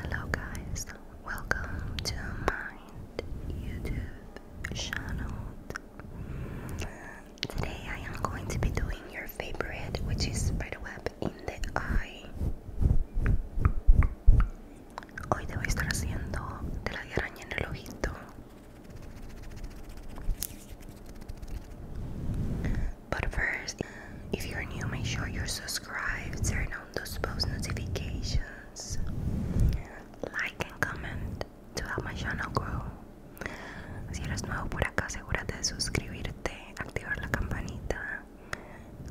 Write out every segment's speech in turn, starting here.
Hello guys, welcome to my YouTube channel. Today I am going to be doing your favorite, which is spider web in the eye. Hoy te estar haciendo de la araña en el ojito. But first, if you're new, make sure you're subscribed, turn on those post notifications, like and comment to help my channel grow. Si eres nuevo por acá, asegúrate de suscribirte, activar la campanita,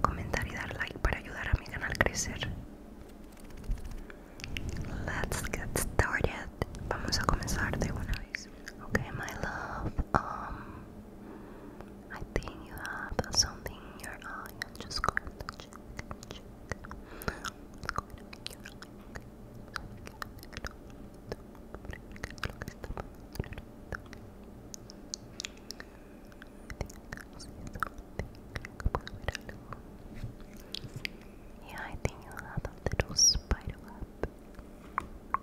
comentar y dar like para ayudar a mi canal crecer. Let's get started. Vamos a comenzar de una vez. Okay, my love. Um, I think you have something in your eye. i just going to check, check. Yeah, I think you have a little spider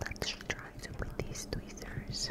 Let's try to with these tweezers.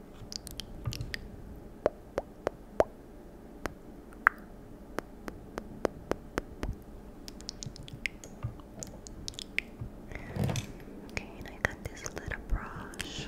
Okay, and I got this little brush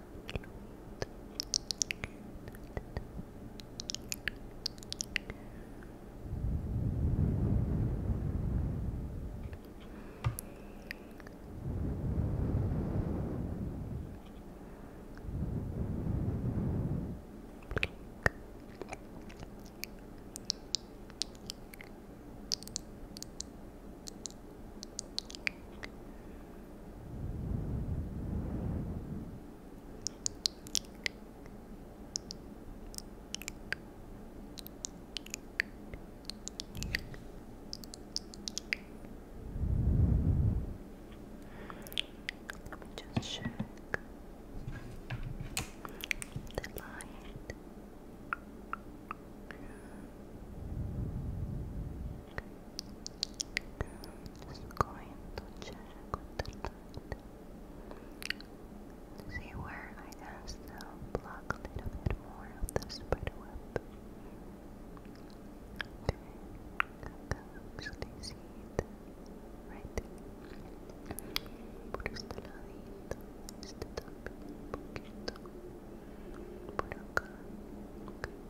Blink. Let me just check the light just going to check with See where I can still block a more of the spider Okay, I can actually see right there. Por este ladito, este también un poquito. Por Okay.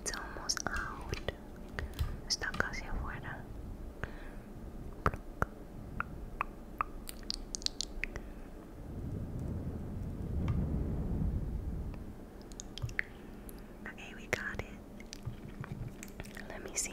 It's almost out. Está casi afuera. Okay, we got it. Let me see.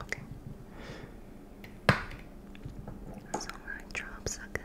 Okay. So my drops are good.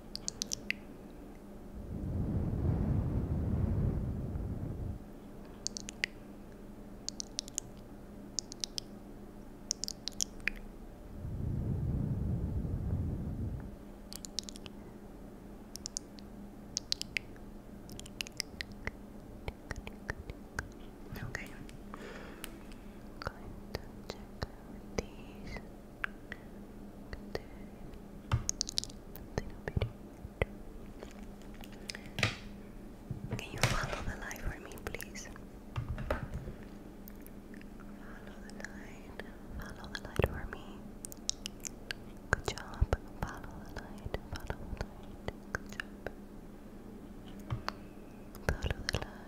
Okay. i going to check these. Can you follow the light for me, please? Follow the light. Follow the light for me. Good job. Follow the light. Follow the light. Good job. Follow the light.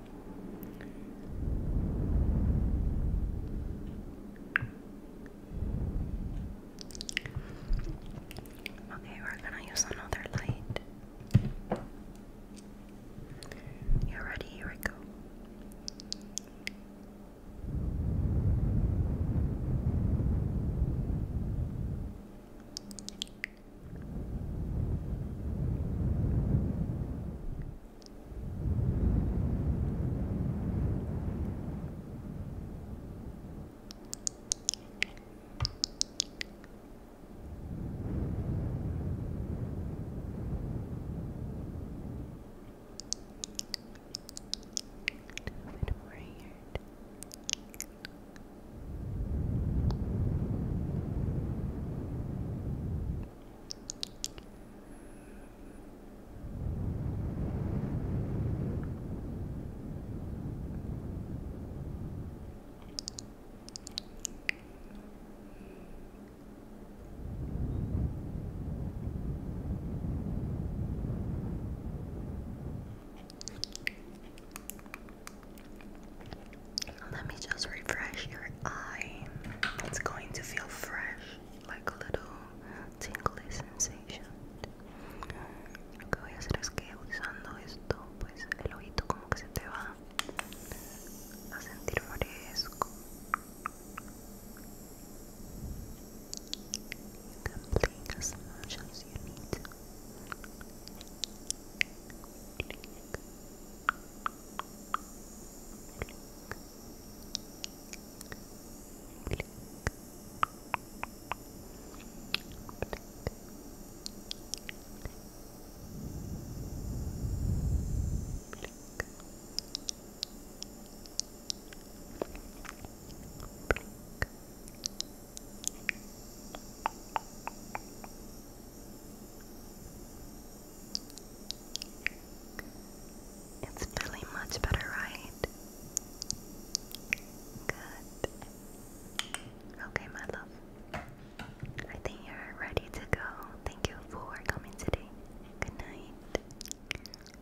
Okay, we're gonna use another light. You ready? Here we go bit more here. Good. Let me just refresh your eye. It's going to feel fresh. like a little tingly sensation. Lo que voy a hacer es que usando esto, pues el ojito como que se te va a sentir fresco. You can blink as much as you need. Blink. It's feeling much better, right? Good. Okay, my love. I think you're ready to go. Thank you for coming today. Good night.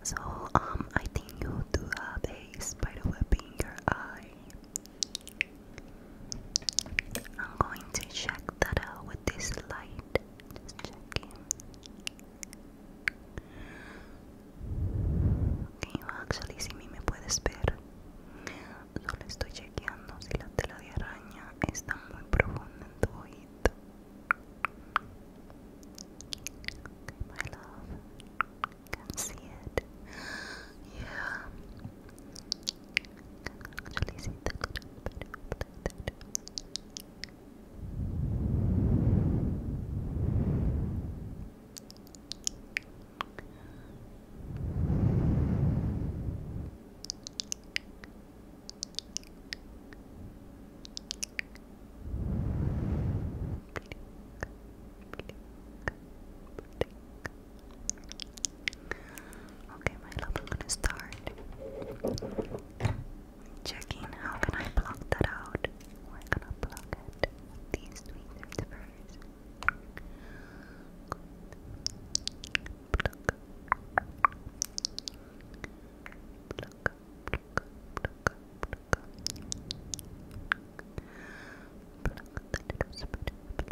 So, um, I think you do have a spider web in your eye. I'm going to check that out with this light. Just checking. Okay, actually, si me puedes ver, solo estoy chequeando si la tela de araña está muy profunda en tu oído. my love, can see it. Yeah. Actually, see ver Okay, my love, we're gonna start Checking how can I block that out? We're going block it these tweezers first. Pluck. Pluck. Pluck. Pluck. Pluck. Pluck that little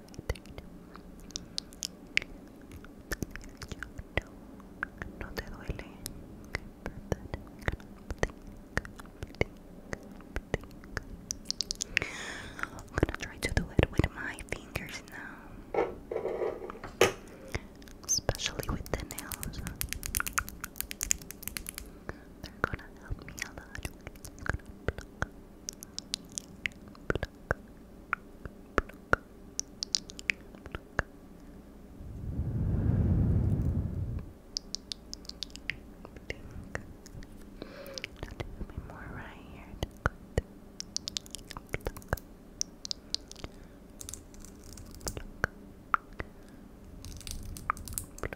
I'm gonna try to do it with my fingers now especially with the nails they're gonna help me a lot bit more right here. Good. Pluck. Pluck. Pluck. Pluck.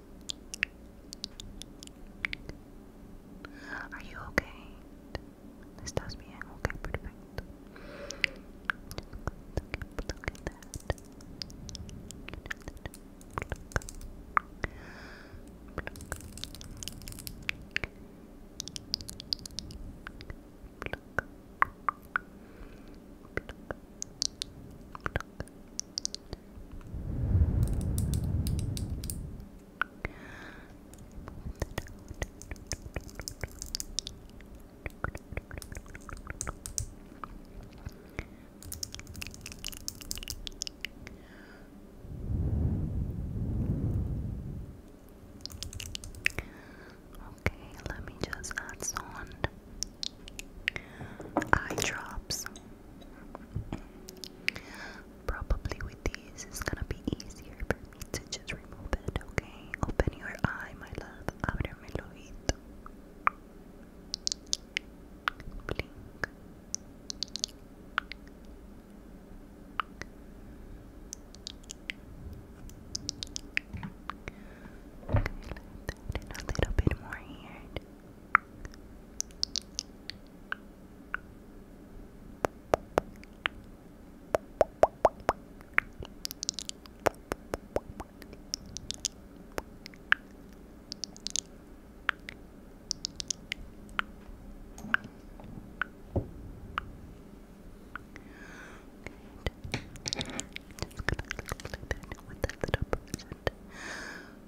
Are you okay? Estás bien, okay, perfecto. Okay, let me just add some eye drops. Probably with these, it's gonna be easier for me to just remove it, okay? Open your eye, my love. Ábreme el ojito. Blink. a little bit more here. Good. Just gonna clip it with this little present.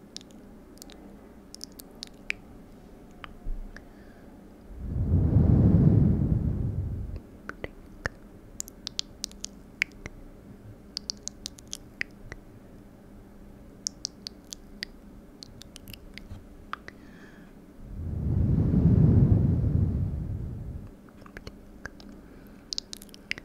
Blink.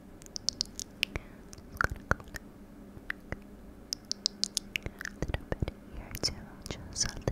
go a little bit here too, just a little bit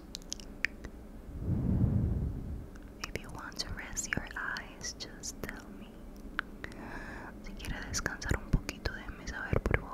If you want to rest your eyes, just tell me. Si quieres descansar un poquito, déjame saber, por favor.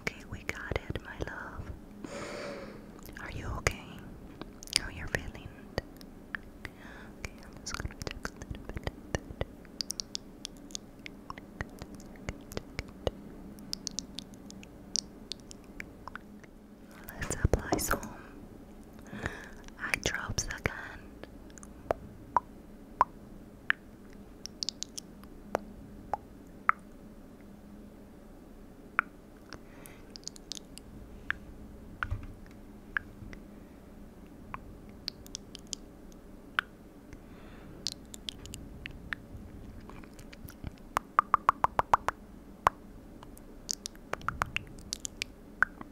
Okay, we got it, my love. Are you okay? How you feeling? Let's apply some I drop second.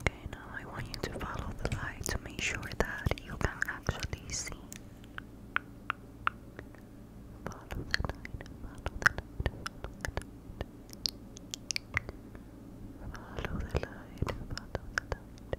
Okay, now I want you to follow the light to make sure that you can actually see. Follow the light, follow the light, follow the light. Follow the light, follow the light.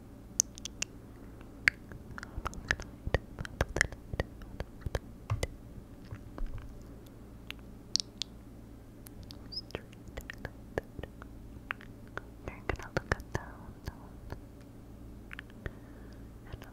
You're gonna look at down, down, and up.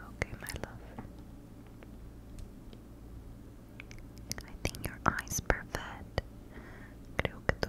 Okay, my love. I think your eye perfect. Creo que tu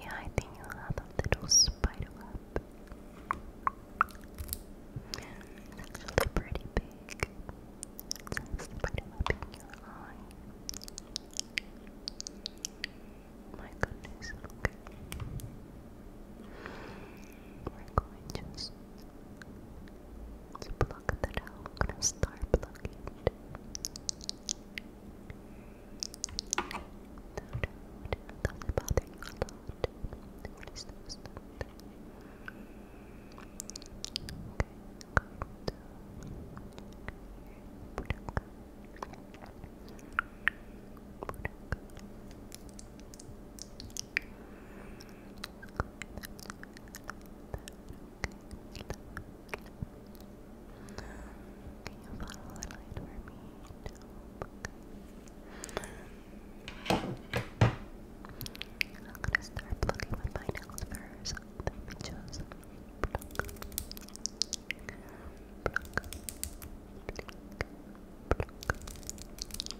Yeah, I think you have a little spider web. It's actually pretty big. It's a spider web in your eye. My goodness, we're going to just that out. I'm gonna start plucking it. That would bother you Okay, you follow the light for me? I'm gonna start plucking my nails first. Then we just pluck, pluck, pluck, pluck.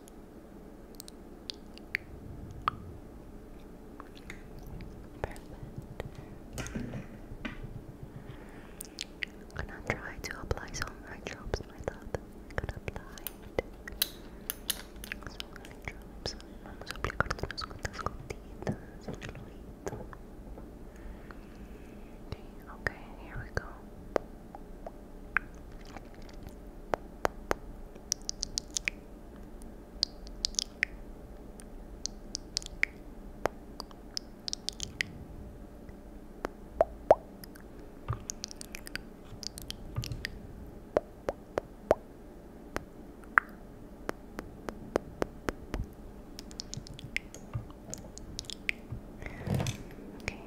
Perfect. I'm gonna try to apply some eye drops, my love. gonna apply Some eye drops. Vamos a aplicarte unas cuantas gotitas en el ojito. Okay, here we go. Okay,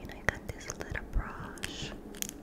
and I got this little brush.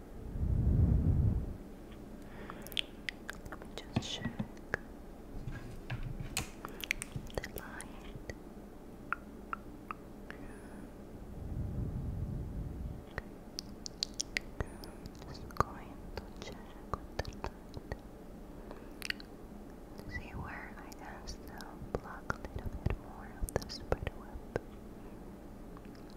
Let me just check the light. just going to check with See where I can still block a little bit more of the spider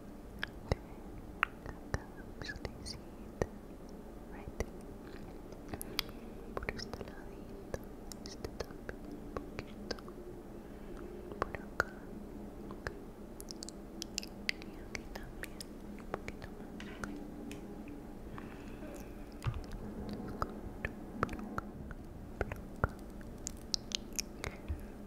acá right por este ladito este también un poquito por acá okay. y aquí también un poquito más ok Por por por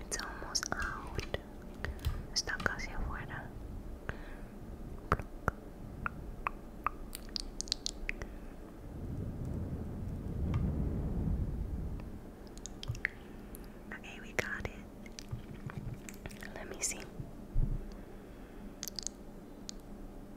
It's almost out. Está casi afuera. Okay, we got it. Let me see.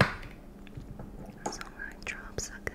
Those online drops are good.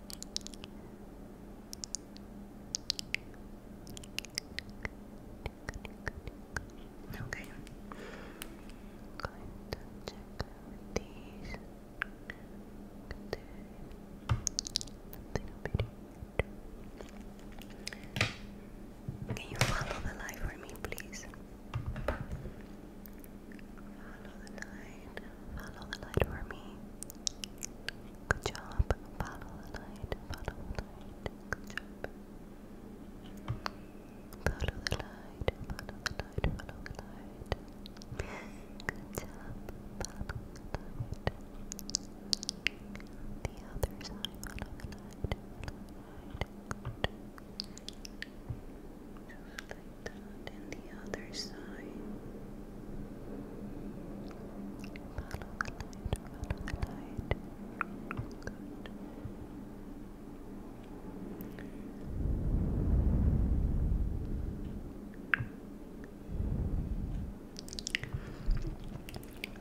Okay. Can you follow the light for me, please? Follow the light. Follow the light for me. Good job. Follow the light. Follow the light. Good job. Follow the light. Follow the light. Follow the light. Good job. Follow the light. The other side. Follow the light. Follow the light. Just like that, and the other side.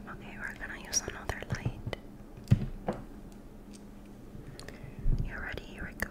Follow the light, follow the light. Good. Okay, we're gonna use another light. You ready? Here we go.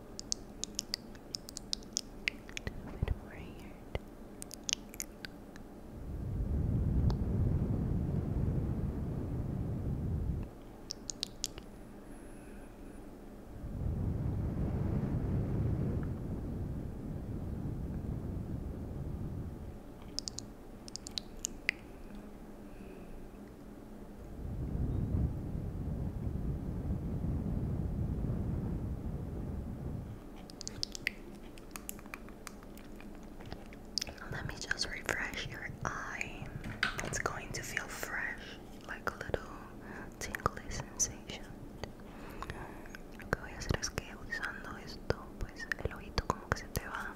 bit more here. Good. Let me just refresh your eye. It's going to feel fresh, like a little tingling sensation. Lo que voy a hacer es que usando esto, pues el ojito como que se te va a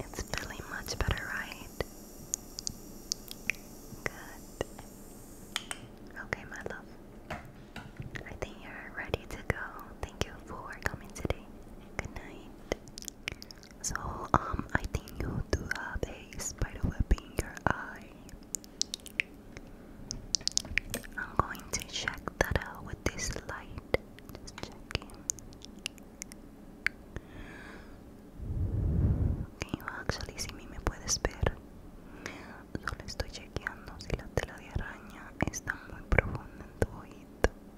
It's feeling much better, right? Good. Okay, my love. I think you're ready to go. Thank you for coming today. Good night. So um, I think you do have a spider web in your eye. I'm going to check that out with this light. Just checking. Can you actually see me? ¿Me puedes ver? Solo estoy chequeando si la tela de araña está muy profunda en tu oído.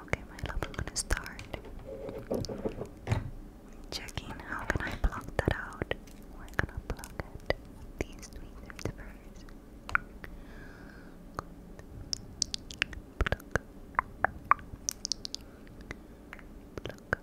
Okay, my love, I'm gonna start checking how can I block that out. We're gonna block it. These tweezers first. Pluck. Pluck.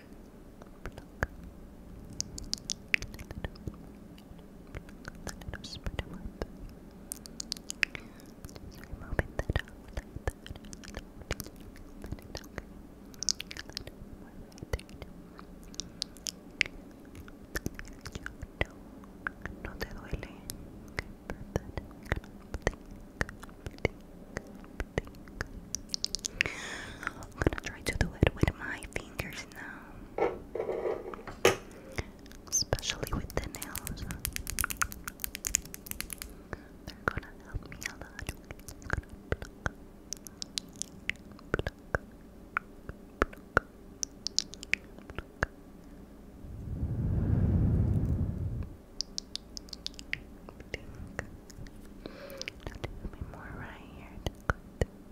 No te I'm gonna try to do it with my fingers now, especially with the nails. They're gonna help me a lot. It's gonna pluck, me more right here. Good.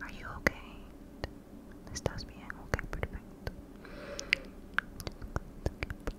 Are you okay? Estás bien? Okay, perfecto. Look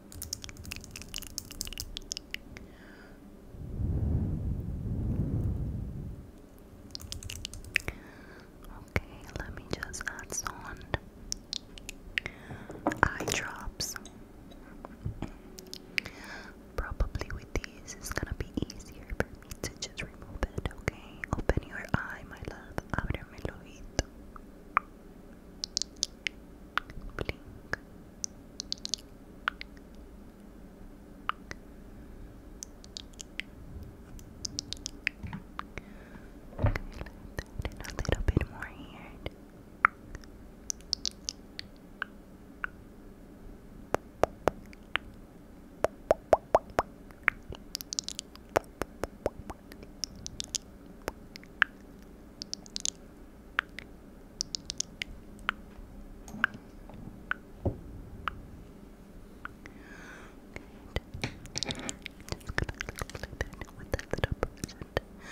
Okay, let me just add some eye drops. Probably with these, it's gonna be easier for me to just remove it, okay? Open your eye, my love. Ábreme el ojito blink. Okay, a little bit more here. Good. Just gonna clip it with that little present. Blink.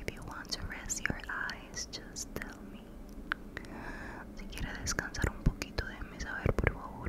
If you want to rest your eyes, just tell me. Si quieres descansar un poquito, déjame saber por favor.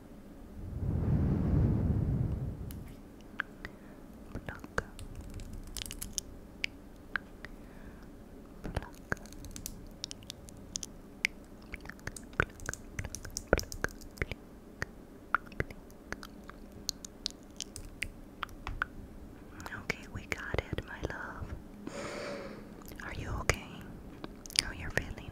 Pluck. Pluck. Pluck, pluck, pluck, pluck, pluck. Okay, we got it, my love. Are you okay? How you're feeling?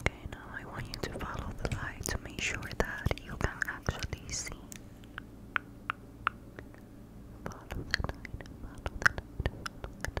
Okay, now I want you to follow the light to make sure that you can actually see. Follow the light, follow the light,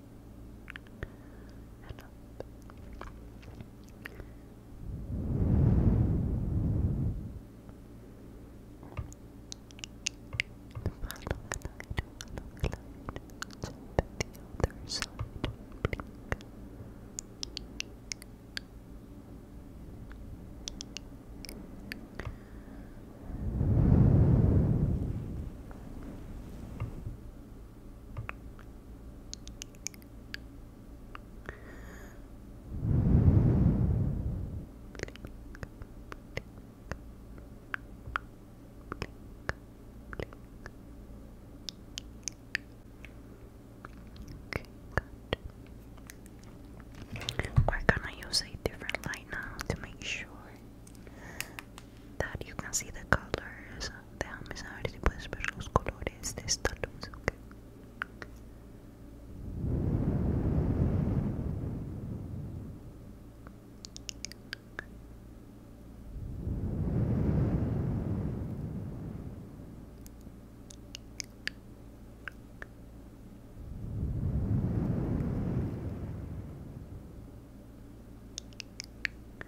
and up. Follow the light, follow the light, so that the other side blink. Good. We're gonna use a different light now to make sure that you can see the colors. Déjame saber si puedes ver los colores de esta luz, ok. Okay.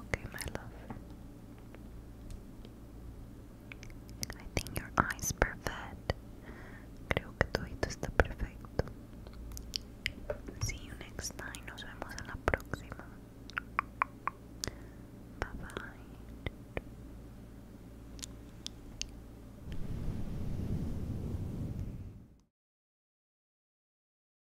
Okay, my love. I think your eyes perfect. Creo que tu hito está perfecto. See you next time. Nos vemos la próxima. Bye bye.